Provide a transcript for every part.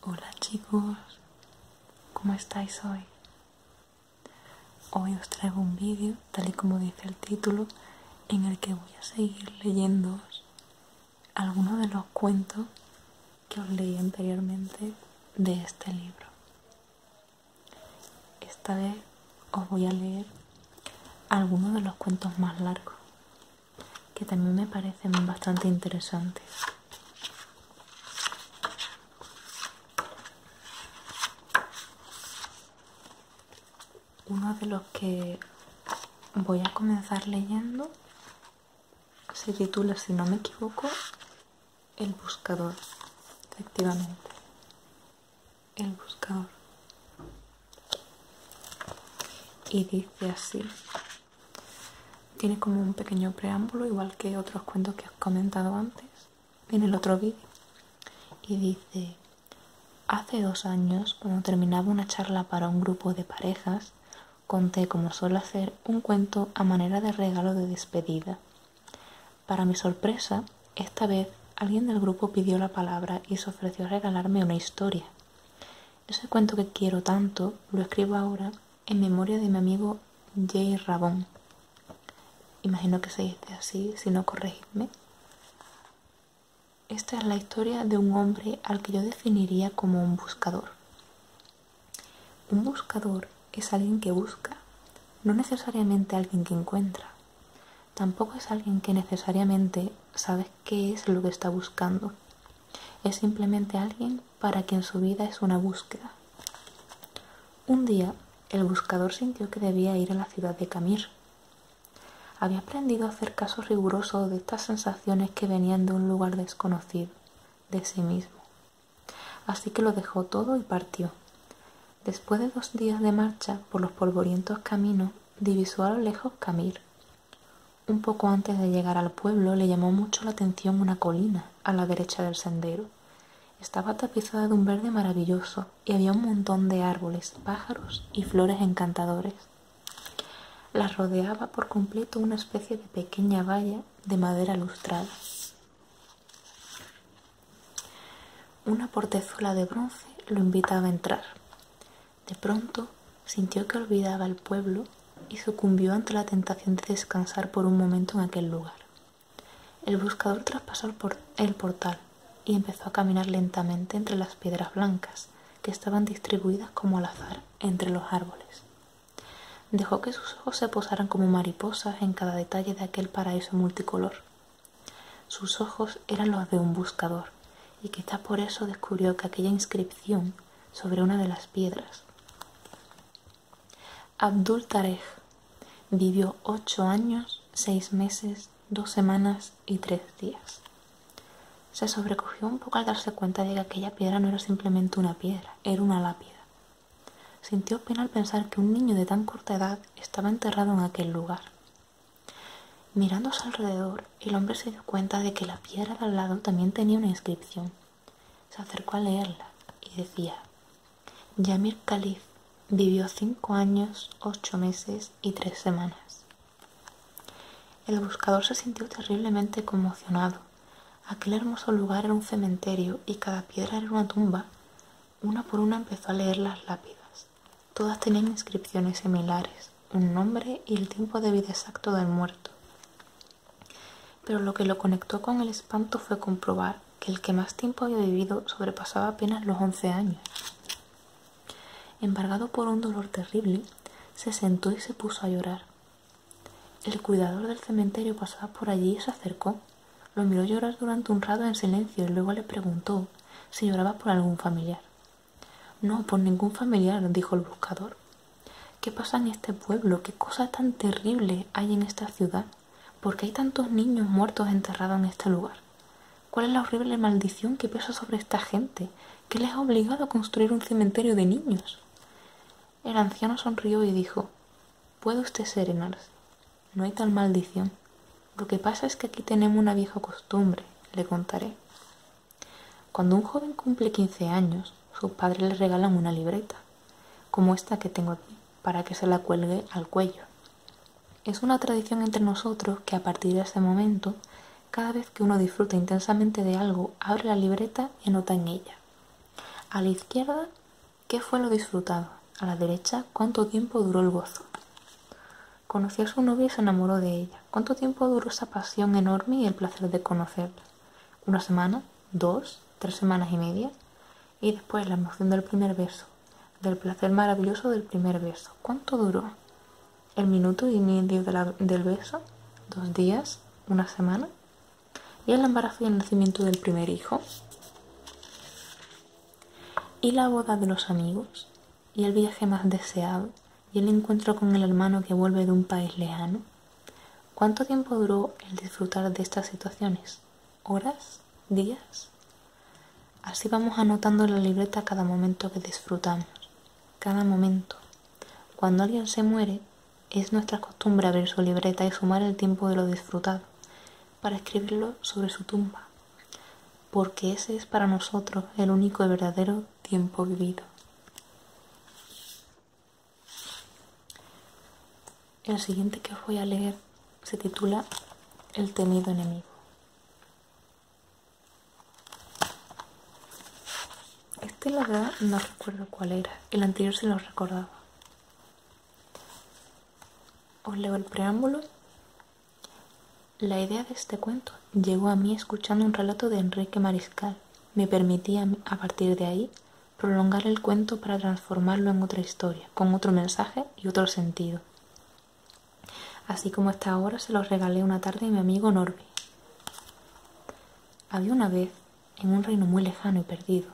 Hola chicos, ¿cómo estáis hoy? Hoy os traigo un vídeo, tal y como dice el título, en el que voy a seguir leyéndoos algunos de los cuentos que os leí anteriormente de este libro. Esta vez os voy a leer algunos de los cuentos más largos, que también me parecen bastante interesantes. Uno de los que voy a comenzar leyendo se titula, si no me equivoco, El Buscador, efectivamente. El Buscador. Y dice así, tiene como un pequeño preámbulo, igual que otros cuentos que has comentado antes, viene el otro vídeo. Y dice, hace dos años, cuando terminaba una charla para un grupo de parejas, conté, como suele hacer, un cuento a manera de regalo de despedida. Para mi sorpresa, esta vez alguien del grupo pidió la palabra y se ofreció a regalarme una historia. Ese cuento que quiero tanto lo escribo ahora en memoria de mi amigo Jay Rabón. Imagino que se dice así, si no corregidme. Esta es la historia de un hombre al que yo definiría como un buscador. Un buscador es alguien que busca, no necesariamente alguien que encuentra. Tampoco es alguien que necesariamente sabe qué es lo que está buscando. Es simplemente alguien para quien su vida es una búsqueda. Un día, el buscador sintió que debía ir a la ciudad de Camir. Había aprendido a hacer caso riguroso de estas sensaciones que venían de un lugar desconocido, de sí mismo. Así que lo dejó todo y partió. Después de dos días de marcha por los polvorientos caminos, divisó a lo lejos Camir, un poco antes de llegar al pueblo le llamó mucho la atención una colina a la derecha del sendero. Estaba tapizada de un verde maravilloso y había un montón de árboles, pájaros y flores encantadores. La rodeaba por completo una especie de pequeña valla de madera lustrada. Una portezuela de bronce lo invitaba a entrar. De pronto sintió que olvidaba el pueblo y sucumbió ante la tentación de descansar por un momento en aquel lugar. El buscador traspasó el, portal y empezó a caminar lentamente entre las piedras blancas que estaban distribuidas como al azar entre los árboles. Dejó que sus ojos se posaran como mariposas en cada detalle de aquel paraíso multicolor. Sus ojos eran los de un buscador, y quizá por eso descubrió que aquella inscripción sobre una de las piedras. Abdul Tarek vivió ocho años, seis meses, dos semanas y tres días. Se sobrecogió un poco al darse cuenta de que aquella piedra no era simplemente una piedra, era una lápida. Sintió pena al pensar que un niño de tan corta edad estaba enterrado en aquel lugar. Mirándose alrededor, el hombre se dio cuenta de que la piedra de al lado también tenía una inscripción se acercó a leerla y decía, Yamir Khalif vivió cinco años, ocho meses y tres semanas. El buscador se sintió terriblemente conmocionado. Aquel hermoso lugar era un cementerio y cada piedra era una tumba. Una por una empezó a leer las lápidas. Todas tenían inscripciones similares, un nombre y el tiempo de vida exacto del muerto. Pero lo que lo conectó con el espanto fue comprobar que el que más tiempo había vivido sobrepasaba apenas los once años. Embargado por un dolor terrible, se sentó y se puso a llorar. El cuidador del cementerio pasaba por allí y se acercó. Lo miró llorar durante un rato en silencio y luego le preguntó si lloraba por algún familiar. No, por ningún familiar, dijo el buscador. ¿Qué pasa en este pueblo? ¿Qué cosa tan terrible hay en esta ciudad? ¿Por qué hay tantos niños muertos enterrados en este lugar? ¿Cuál es la horrible maldición que pesa sobre esta gente? ¿Qué les ha obligado a construir un cementerio de niños? El anciano sonrió y dijo, Puede usted serenarse. No hay tal maldición. Lo que pasa es que aquí tenemos una vieja costumbre, le contaré. Cuando un joven cumple 15 años, sus padres le regalan una libreta, como esta que tengo aquí, para que se la cuelgue al cuello. Es una tradición entre nosotros que a partir de ese momento, cada vez que uno disfruta intensamente de algo, abre la libreta y nota en ella. A la izquierda, ¿qué fue lo disfrutado? A la derecha, ¿cuánto tiempo duró el gozo? Conoció a su novia y se enamoró de ella. ¿Cuánto tiempo duró esa pasión enorme y el placer de conocerla? una semana, dos, tres semanas y media, y después la emoción del primer beso, del placer maravilloso del primer beso. ¿Cuánto duró? ¿El minuto y medio del beso? ¿Dos días? ¿Una semana? ¿Y el embarazo y el nacimiento del primer hijo? ¿Y la boda de los amigos? ¿Y el viaje más deseado? y el encuentro con el hermano que vuelve de un país lejano? ¿Cuánto tiempo duró el disfrutar de estas situaciones? ¿Horas? ¿Días? Así vamos anotando en la libreta cada momento que disfrutamos, cada momento. Cuando alguien se muere, es nuestra costumbre abrir su libreta y sumar el tiempo de lo disfrutado para escribirlo sobre su tumba, porque ese es para nosotros el único y verdadero tiempo vivido. El siguiente que os voy a leer se titula El temido enemigo. Este la no recuerdo cuál era, el anterior se lo recordaba. Os leo el preámbulo. La idea de este cuento llegó a mí escuchando un relato de Enrique Mariscal me permitía a partir de ahí prolongar el cuento para transformarlo en otra historia, con otro mensaje y otro sentido. Así como hasta ahora se los regalé una tarde a mi amigo Norby. Había una vez, en un reino muy lejano y perdido,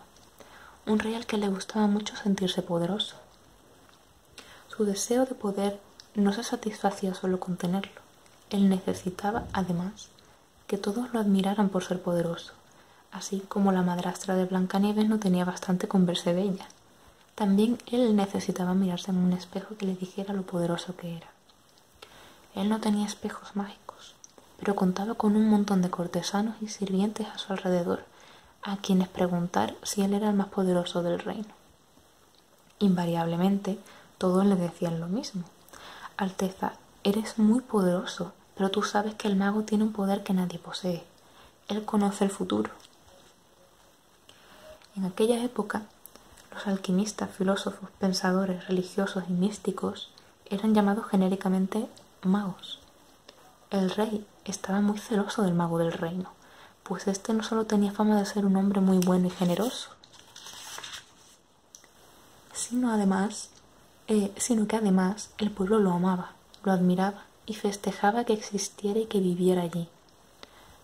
un rey al que le gustaba mucho sentirse poderoso. Su deseo de poder no se satisfacía solo con tenerlo, él necesitaba, además, que todos lo admiraran por ser poderoso, así como la madrastra de Blancanieves no tenía bastante con verse bella. También él necesitaba mirarse en un espejo que le dijera lo poderoso que era. Él no tenía espejos mágicos, pero contaba con un montón de cortesanos y sirvientes a su alrededor, a quienes preguntar si él era el más poderoso del reino. Invariablemente, todos le decían lo mismo. Alteza, eres muy poderoso, pero tú sabes que el mago tiene un poder que nadie posee. Él conoce el futuro. En aquella época, los alquimistas, filósofos, pensadores, religiosos y místicos eran llamados genéricamente magos. El rey estaba muy celoso del mago del reino, pues este no solo tenía fama de ser un hombre muy bueno y generoso, sino además, eh, sino que además el pueblo lo amaba, lo admiraba y festejaba que existiera y que viviera allí.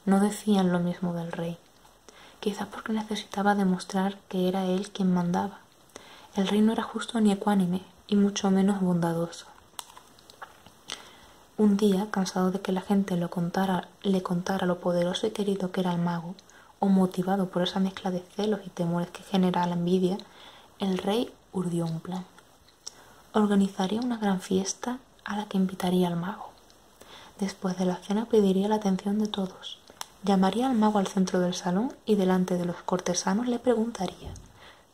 No decían lo mismo del rey, quizás porque necesitaba demostrar que era él quien mandaba. El rey no era justo ni ecuánime, y mucho menos bondadoso. Un día, cansado de que la gente le contara lo poderoso y querido que era el mago, o motivado por esa mezcla de celos y temores que genera la envidia, el rey urdió un plan. Organizaría una gran fiesta a la que invitaría al mago. Después de la cena pediría la atención de todos. Llamaría al mago al centro del salón y delante de los cortesanos le preguntaría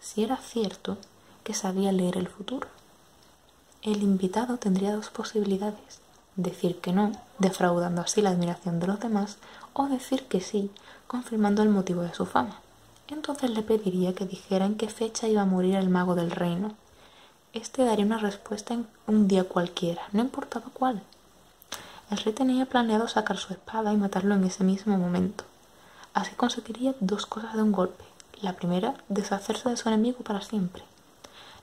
si era cierto que sabía leer el futuro. El invitado tendría dos posibilidades, decir que no, defraudando así la admiración de los demás, o decir que sí, confirmando el motivo de su fama. Entonces le pediría que dijera en qué fecha iba a morir el mago del reino. Este daría una respuesta en un día cualquiera, no importaba cuál. El rey tenía planeado sacar su espada y matarlo en ese mismo momento. Así conseguiría dos cosas de un golpe. La primera, deshacerse de su enemigo para siempre.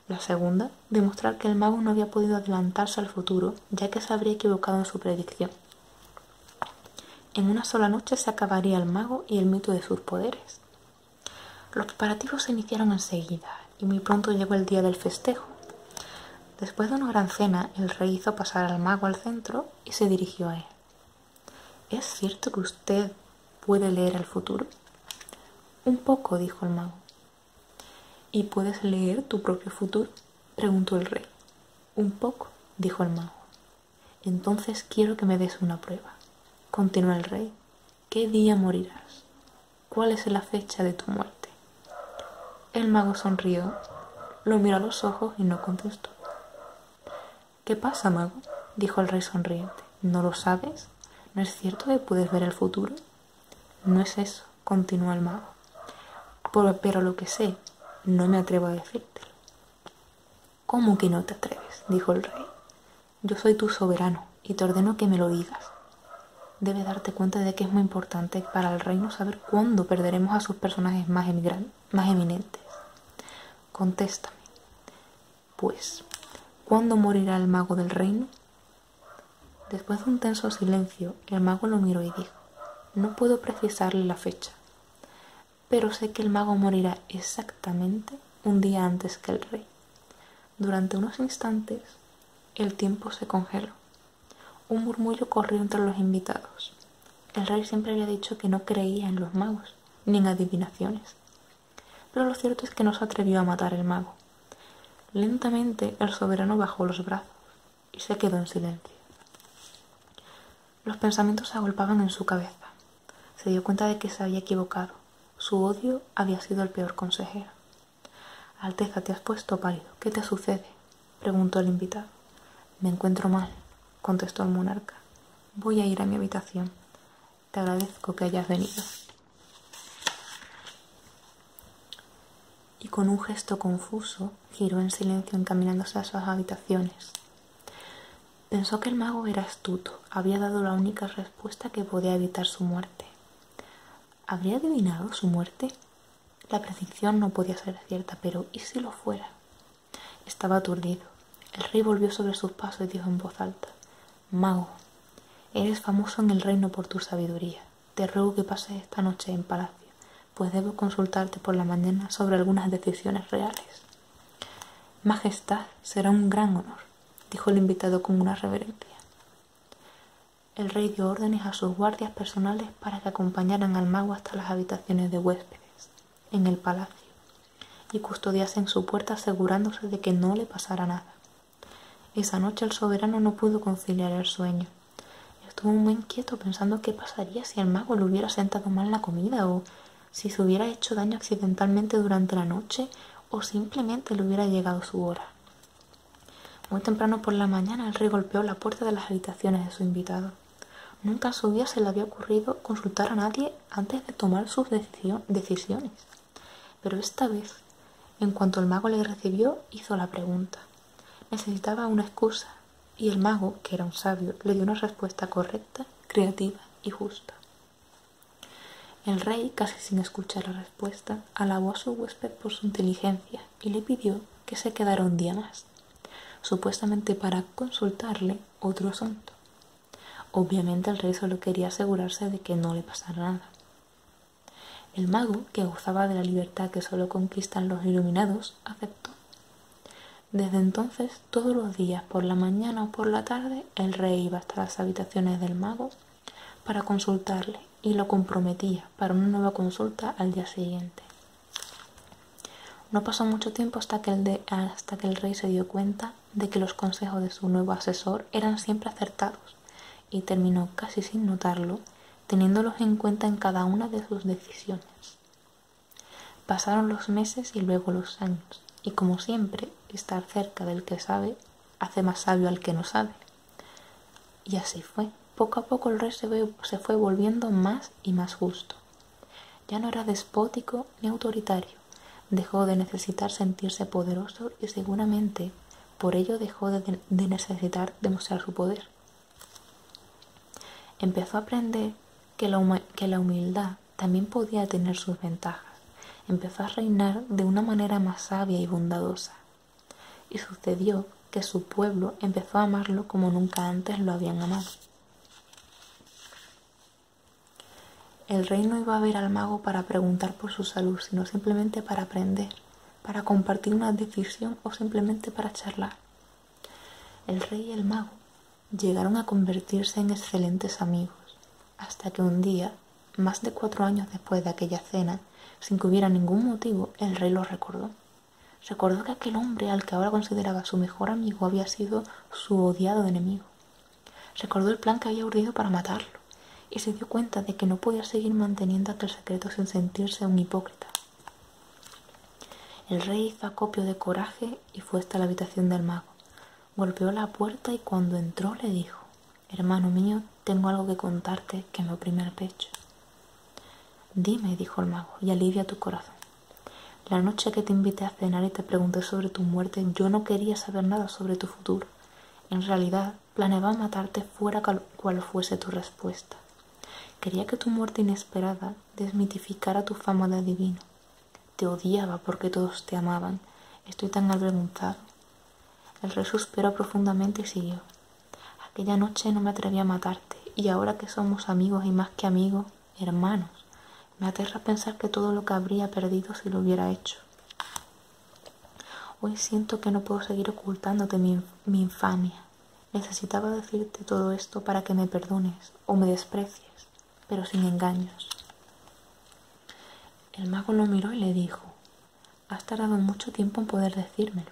La segunda, demostrar que el mago no había podido adelantarse al futuro, ya que se habría equivocado en su predicción. En una sola noche se acabaría el mago y el mito de sus poderes. Los preparativos se iniciaron enseguida y muy pronto llegó el día del festejo. Después de una gran cena, el rey hizo pasar al mago al centro y se dirigió a él. ¿Es cierto que usted puede leer el futuro? Un poco, dijo el mago. ¿Y puedes leer tu propio futuro? preguntó el rey. Un poco, dijo el mago. Entonces quiero que me des una prueba. Continuó el rey. ¿Qué día morirás? ¿Cuál es la fecha de tu muerte? El mago sonrió, lo miró a los ojos y no contestó. ¿Qué pasa, mago? dijo el rey sonriente. ¿No lo sabes? ¿No es cierto que puedes ver el futuro? No es eso, continuó el mago. Pero, lo que sé, no me atrevo a decirte. ¿Cómo que no te atreves? dijo el rey. Yo soy tu soberano y te ordeno que me lo digas. Debes darte cuenta de que es muy importante para el reino saber cuándo perderemos a sus personajes más eminentes. Contéstame. Pues, ¿cuándo morirá el mago del reino? Después de un tenso silencio, el mago lo miró y dijo, no puedo precisarle la fecha, pero sé que el mago morirá exactamente un día antes que el rey. Durante unos instantes, el tiempo se congeló. Un murmullo corrió entre los invitados. El rey siempre había dicho que no creía en los magos, ni en adivinaciones. Pero lo cierto es que no se atrevió a matar al mago. Lentamente el soberano bajó los brazos y se quedó en silencio. Los pensamientos se agolpaban en su cabeza. Se dio cuenta de que se había equivocado. Su odio había sido el peor consejero. Alteza, te has puesto pálido. ¿Qué te sucede? preguntó el invitado. Me encuentro mal, contestó el monarca. Voy a ir a mi habitación. Te agradezco que hayas venido. Y con un gesto confuso giró en silencio encaminándose a sus habitaciones. Pensó que el mago era astuto, había dado la única respuesta que podía evitar su muerte. ¿Habría adivinado su muerte? La predicción no podía ser cierta, pero ¿y si lo fuera? Estaba aturdido. El rey volvió sobre sus pasos y dijo en voz alta, Mago, eres famoso en el reino por tu sabiduría. Te ruego que pases esta noche en palacio, pues debo consultarte por la mañana sobre algunas decisiones reales. Majestad, será un gran honor, dijo el invitado con una reverencia. El rey dio órdenes a sus guardias personales para que acompañaran al mago hasta las habitaciones de huéspedes, en el palacio, y custodiasen su puerta asegurándose de que no le pasara nada. Esa noche el soberano no pudo conciliar el sueño. Estuvo muy inquieto pensando qué pasaría si el mago le hubiera sentado mal la comida o si se hubiera hecho daño accidentalmente durante la noche o simplemente le hubiera llegado su hora. Muy temprano por la mañana el rey golpeó la puerta de las habitaciones de su invitado. Nunca en su vida se le había ocurrido consultar a nadie antes de tomar sus decisiones. Pero esta vez, en cuanto el mago le recibió, hizo la pregunta. Necesitaba una excusa, y el mago, que era un sabio, le dio una respuesta correcta, creativa y justa. El rey, casi sin escuchar la respuesta, alabó a su huésped por su inteligencia y le pidió que se quedara un día más, supuestamente para consultarle otro asunto. Obviamente el rey solo quería asegurarse de que no le pasara nada. El mago, que gozaba de la libertad que solo conquistan los iluminados, aceptó. Desde entonces, todos los días, por la mañana o por la tarde, el rey iba hasta las habitaciones del mago para consultarle y lo comprometía para una nueva consulta al día siguiente. No pasó mucho tiempo hasta que, el hasta que el rey se dio cuenta de que los consejos de su nuevo asesor eran siempre acertados y terminó casi sin notarlo, teniéndolos en cuenta en cada una de sus decisiones. Pasaron los meses y luego los años, y como siempre, estar cerca del que sabe hace más sabio al que no sabe. Y así fue. Poco a poco el rey se, se fue volviendo más y más justo. Ya no era despótico ni autoritario. Dejó de necesitar sentirse poderoso y seguramente por ello dejó de, necesitar demostrar su poder. Empezó a aprender que la, que la humildad también podía tener sus ventajas. Empezó a reinar de una manera más sabia y bondadosa. Y sucedió que su pueblo empezó a amarlo como nunca antes lo habían amado. El rey no iba a ver al mago para preguntar por su salud, sino simplemente para aprender para compartir una decisión o simplemente para charlar. El rey y el mago llegaron a convertirse en excelentes amigos, hasta que un día, más de cuatro años después de aquella cena, sin que hubiera ningún motivo, el rey lo recordó. Recordó que aquel hombre al que ahora consideraba su mejor amigo había sido su odiado enemigo. Recordó el plan que había urdido para matarlo y se dio cuenta de que no podía seguir manteniendo aquel secreto sin sentirse un hipócrita. El rey hizo acopio de coraje y fue hasta la habitación del mago. Golpeó la puerta y cuando entró le dijo Hermano mío, tengo algo que contarte que me oprime el pecho. Dime, dijo el mago, y alivia tu corazón. La noche que te invité a cenar y te pregunté sobre tu muerte, yo no quería saber nada sobre tu futuro. En realidad, planeaba matarte fuera cual fuese tu respuesta. Quería que tu muerte inesperada desmitificara tu fama de divino. Te odiaba porque todos te amaban. Estoy tan avergonzado. El rey suspiró profundamente y siguió. Aquella noche no me atreví a matarte y ahora que somos amigos y más que amigos, hermanos, me aterra pensar que todo lo que habría perdido si lo hubiera hecho. Hoy siento que no puedo seguir ocultándote mi, infamia. Necesitaba decirte todo esto para que me perdones o me desprecies, pero sin engaños. El mago lo miró y le dijo, has tardado mucho tiempo en poder decírmelo,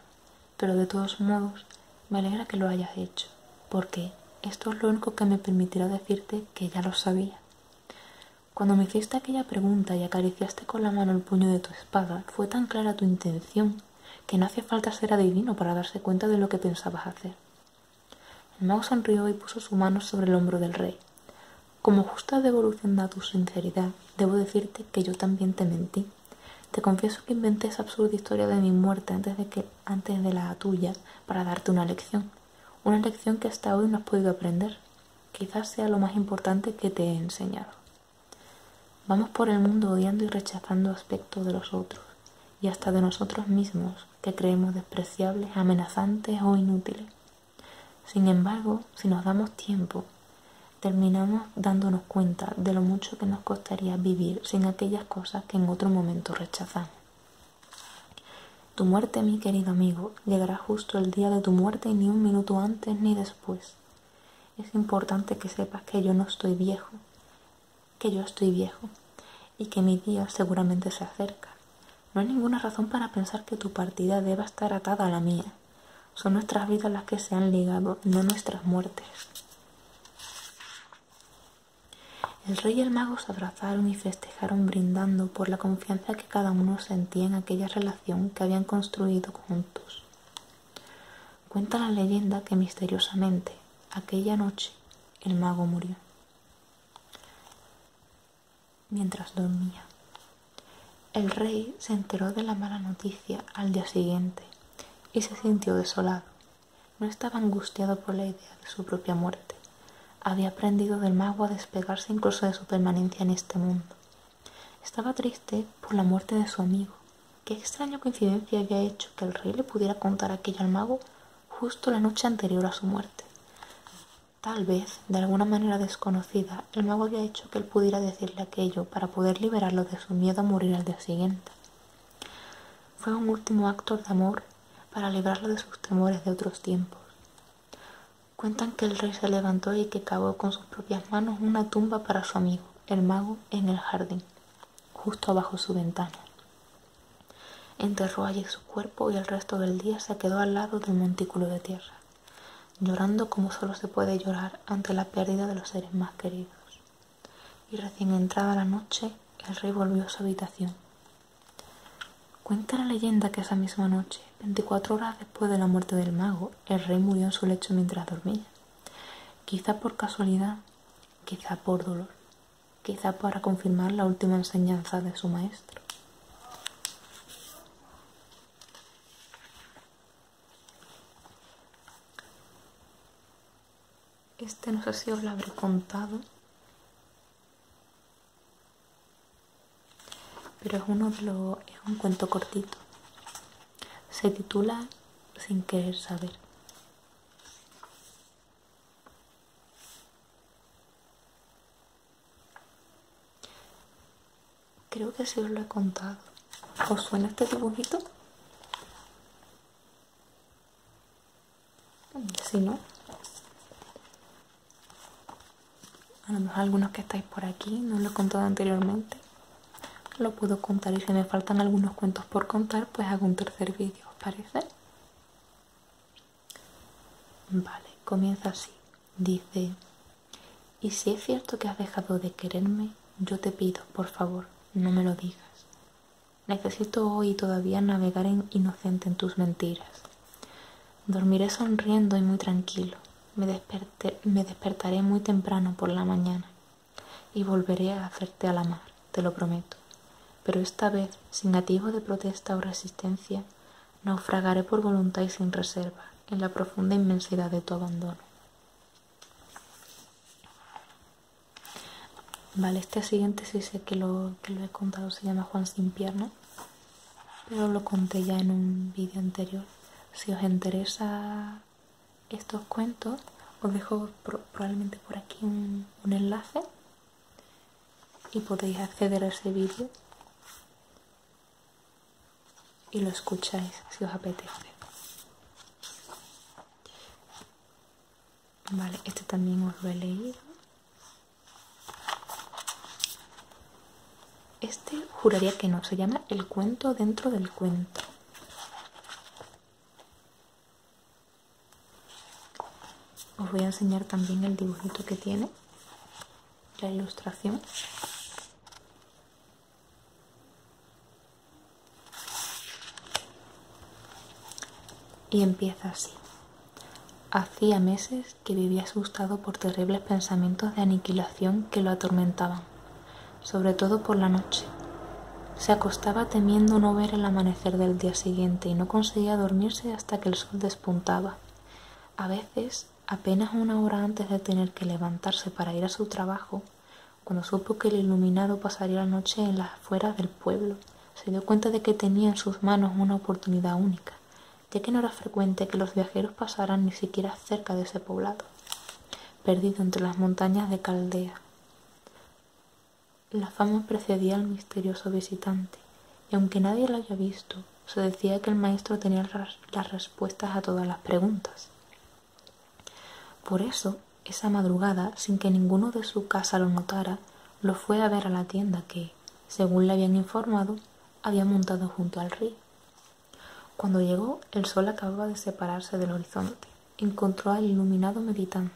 pero de todos modos me alegra que lo hayas hecho, porque esto es lo único que me permitirá decirte que ya lo sabía. Cuando me hiciste aquella pregunta y acariciaste con la mano el puño de tu espada. fue tan clara tu intención que no hace falta ser adivino para darse cuenta de lo que pensabas hacer. El mago sonrió y puso su mano sobre el hombro del rey. Como justa devolución de tu sinceridad, debo decirte que yo también te mentí. Te confieso que inventé esa absurda historia de mi muerte antes de, antes de la tuya para darte una lección. Una lección que hasta hoy no has podido aprender. Quizás sea lo más importante que te he enseñado. Vamos por el mundo odiando y rechazando aspectos de los otros y hasta de nosotros mismos que creemos despreciables, amenazantes o inútiles. Sin embargo, si nos damos tiempo, terminamos dándonos cuenta de lo mucho que nos costaría vivir sin aquellas cosas que en otro momento rechazamos. Tu muerte, mi querido amigo, llegará justo el día de tu muerte ni un minuto antes ni después. Es importante que sepas que yo no estoy viejo, que yo estoy viejo y que mi día seguramente se acerca. No hay ninguna razón para pensar que tu partida deba estar atada a la mía. Son nuestras vidas las que se han ligado, no nuestras muertes. El rey y el mago se abrazaron y festejaron brindando por la confianza que cada uno sentía en aquella relación que habían construido juntos. Cuenta la leyenda que misteriosamente aquella noche el mago murió. Mientras dormía, el rey se enteró de la mala noticia al día siguiente y se sintió desolado. No estaba angustiado por la idea de su propia muerte. Había aprendido del mago a despegarse incluso de su permanencia en este mundo estaba triste por la muerte de su amigo. Qué extraña coincidencia había hecho que el rey le pudiera contar aquello al mago justo la noche anterior a su muerte. Tal vez, de alguna manera desconocida, el mago había hecho que él pudiera decirle aquello para poder liberarlo de su miedo a morir al día siguiente. Fue un último acto de amor para librarlo de sus temores de otros tiempos. Cuentan que el rey se levantó y que cavó con sus propias manos una tumba para su amigo, el mago, en el jardín, justo abajo su ventana. Enterró allí su cuerpo y el resto del día se quedó al lado del montículo de tierra, llorando como solo se puede llorar ante la pérdida de los seres más queridos. Y recién entrada la noche, el rey volvió a su habitación. Cuenta la leyenda que esa misma noche, 24 horas después de la muerte del mago, el rey murió en su lecho mientras dormía. Quizá por casualidad, quizá por dolor, quizá para confirmar la última enseñanza de su maestro. Este no sé si os lo habré contado pero es, uno de es un cuento cortito. Se titula Sin querer saber. Creo que sí os lo he contado. ¿Os suena este dibujito? Si no, a lo mejor algunos que estáis por aquí, no lo he contado anteriormente, lo puedo contar y si me faltan algunos cuentos por contar, pues hago un tercer vídeo, ¿os parece? Vale, comienza así. Dice, y si es cierto que has dejado de quererme, yo te pido, por favor, no me lo digas. Necesito hoy todavía navegar en inocente en tus mentiras. Dormiré sonriendo y muy tranquilo. Me, despertaré muy temprano por la mañana y volveré a hacerte a la mar, te lo prometo. Pero esta vez, sin atisbo de protesta o resistencia, naufragaré por voluntad y sin reserva en la profunda inmensidad de tu abandono. Vale, este siguiente si sé que lo, que lo he contado, se llama Juan sin pierna, pero lo conté ya en un vídeo anterior. Si os interesa estos cuentos, os dejo probablemente por aquí un, enlace y podéis acceder a ese vídeo y lo escucháis si os apetece. Vale, este también os lo he leído. Este juraría que no, se llama El cuento dentro del cuento. Os voy a enseñar también el dibujito que tiene, la ilustración. Y empieza así. Hacía meses que vivía asustado por terribles pensamientos de aniquilación que lo atormentaban sobre todo por la noche. Se acostaba temiendo no ver el amanecer del día siguiente y no conseguía dormirse hasta que el sol despuntaba. A veces, apenas una hora antes de tener que levantarse para ir a su trabajo, cuando supo que el iluminado pasaría la noche en las afueras del pueblo, se dio cuenta de que tenía en sus manos una oportunidad única, ya que no era frecuente que los viajeros pasaran ni siquiera cerca de ese poblado perdido entre las montañas de Caldea. La fama precedía al misterioso visitante, y aunque nadie lo había visto, se decía que el maestro tenía las respuestas a todas las preguntas. Por eso, esa madrugada, sin que ninguno de su casa lo notara, lo fue a ver a la tienda que, según le habían informado, había montado junto al río. Cuando llegó, el sol acababa de separarse del horizonte. Encontró al iluminado meditando.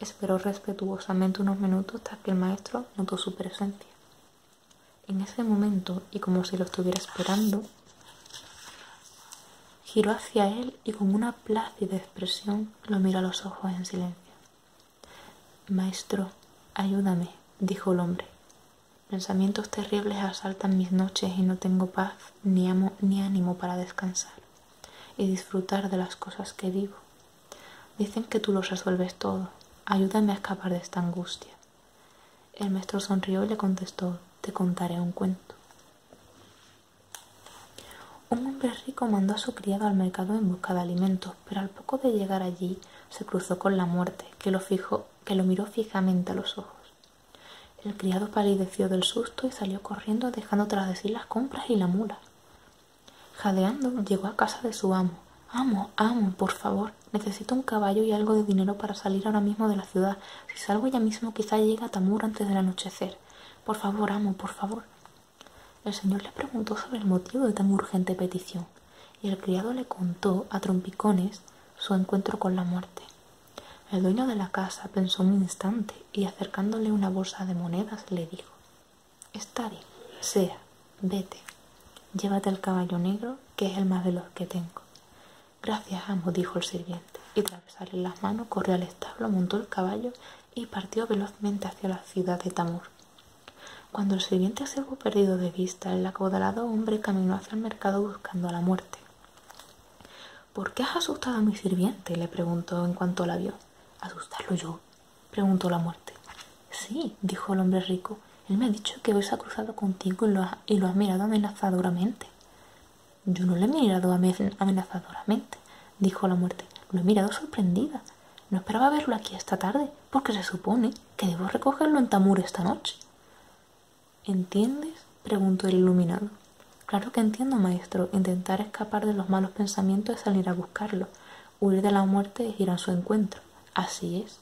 Esperó respetuosamente unos minutos hasta que el maestro notó su presencia. En ese momento, y como si lo estuviera esperando, giró hacia él y con una plácida expresión lo miró a los ojos en silencio. Maestro, ayúdame, dijo el hombre. Pensamientos terribles asaltan mis noches y no tengo paz ni amo ni ánimo para descansar y disfrutar de las cosas que vivo. Dicen que tú los resuelves todo. Ayúdame a escapar de esta angustia. El maestro sonrió y le contestó, te contaré un cuento. Un hombre rico mandó a su criado al mercado en busca de alimentos, pero al poco de llegar allí se cruzó con la muerte, que lo, fijó, que lo miró fijamente a los ojos. El criado palideció del susto y salió corriendo dejando tras de sí las compras y la mula. Jadeando llegó a casa de su amo. Amo, amo, por favor, necesito un caballo y algo de dinero para salir ahora mismo de la ciudad. Si salgo ya mismo quizá llegue a Tamur antes del anochecer. Por favor, amo, por favor. El señor le preguntó sobre el motivo de tan urgente petición y el criado le contó a trompicones su encuentro con la muerte. El dueño de la casa pensó un instante y acercándole una bolsa de monedas le dijo Está sea, vete, llévate el caballo negro, que es el más veloz que tengo. Gracias, amo, dijo el sirviente, y tras las manos corrió al establo, montó el caballo y partió velozmente hacia la ciudad de Tamur. Cuando el sirviente se hubo perdido de vista, el acodalado hombre caminó hacia el mercado buscando a la muerte. ¿Por qué has asustado a mi sirviente? le preguntó en cuanto la vio. ¿Asustarlo yo? preguntó la muerte. Sí, dijo el hombre rico. Él me ha dicho que hoy se ha cruzado contigo y lo ha, mirado amenazadoramente. Yo no le he mirado amenazadoramente, dijo la muerte. Lo he mirado sorprendida. No esperaba verlo aquí esta tarde, porque se supone que debo recogerlo en Tamur esta noche. ¿Entiendes? preguntó el iluminado. Claro que entiendo, maestro. Intentar escapar de los malos pensamientos es salir a buscarlo, Huir de la muerte es ir a su encuentro. Así es.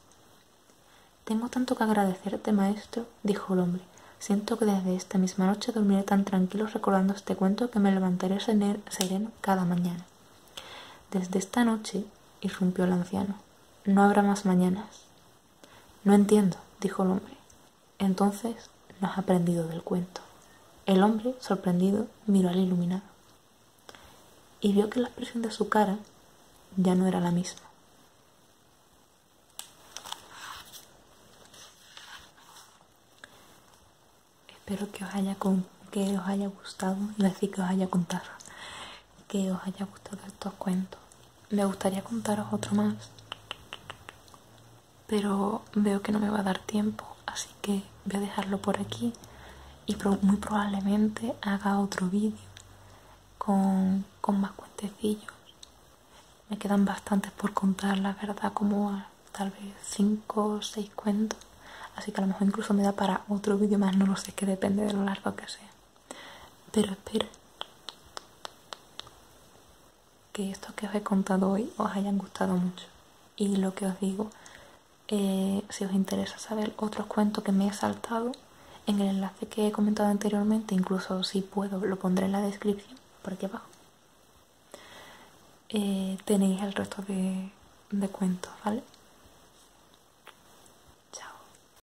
Tengo tanto que agradecerte, maestro, dijo el hombre. Siento que desde esta misma noche dormiré tan tranquilo recordando este cuento que me levantaré sereno cada mañana. Desde esta noche, irrumpió el anciano, no habrá más mañanas. No entiendo, dijo el hombre. Entonces no has aprendido del cuento. El hombre, sorprendido, miró al iluminado y vio que la expresión de su cara ya no era la misma. Espero que os haya, que os haya gustado y decir que os haya contado que os haya gustado estos cuentos. Me gustaría contaros otro más, pero veo que no me va a dar tiempo, así que voy a dejarlo por aquí y muy probablemente haga otro vídeo con, más cuentecillos. Me quedan bastantes por contar, la verdad, como tal vez 5 o 6 cuentos. Así que a lo mejor incluso me da para otro vídeo más, no lo sé, que depende de lo largo que sea. Pero espero Que esto que os he contado hoy os hayan gustado mucho. Y lo que os digo, eh, si os interesa saber otros cuentos que me he saltado, en el enlace que he comentado anteriormente, incluso si puedo, lo pondré en la descripción, por aquí abajo, eh, tenéis el resto de, cuentos, ¿vale? chao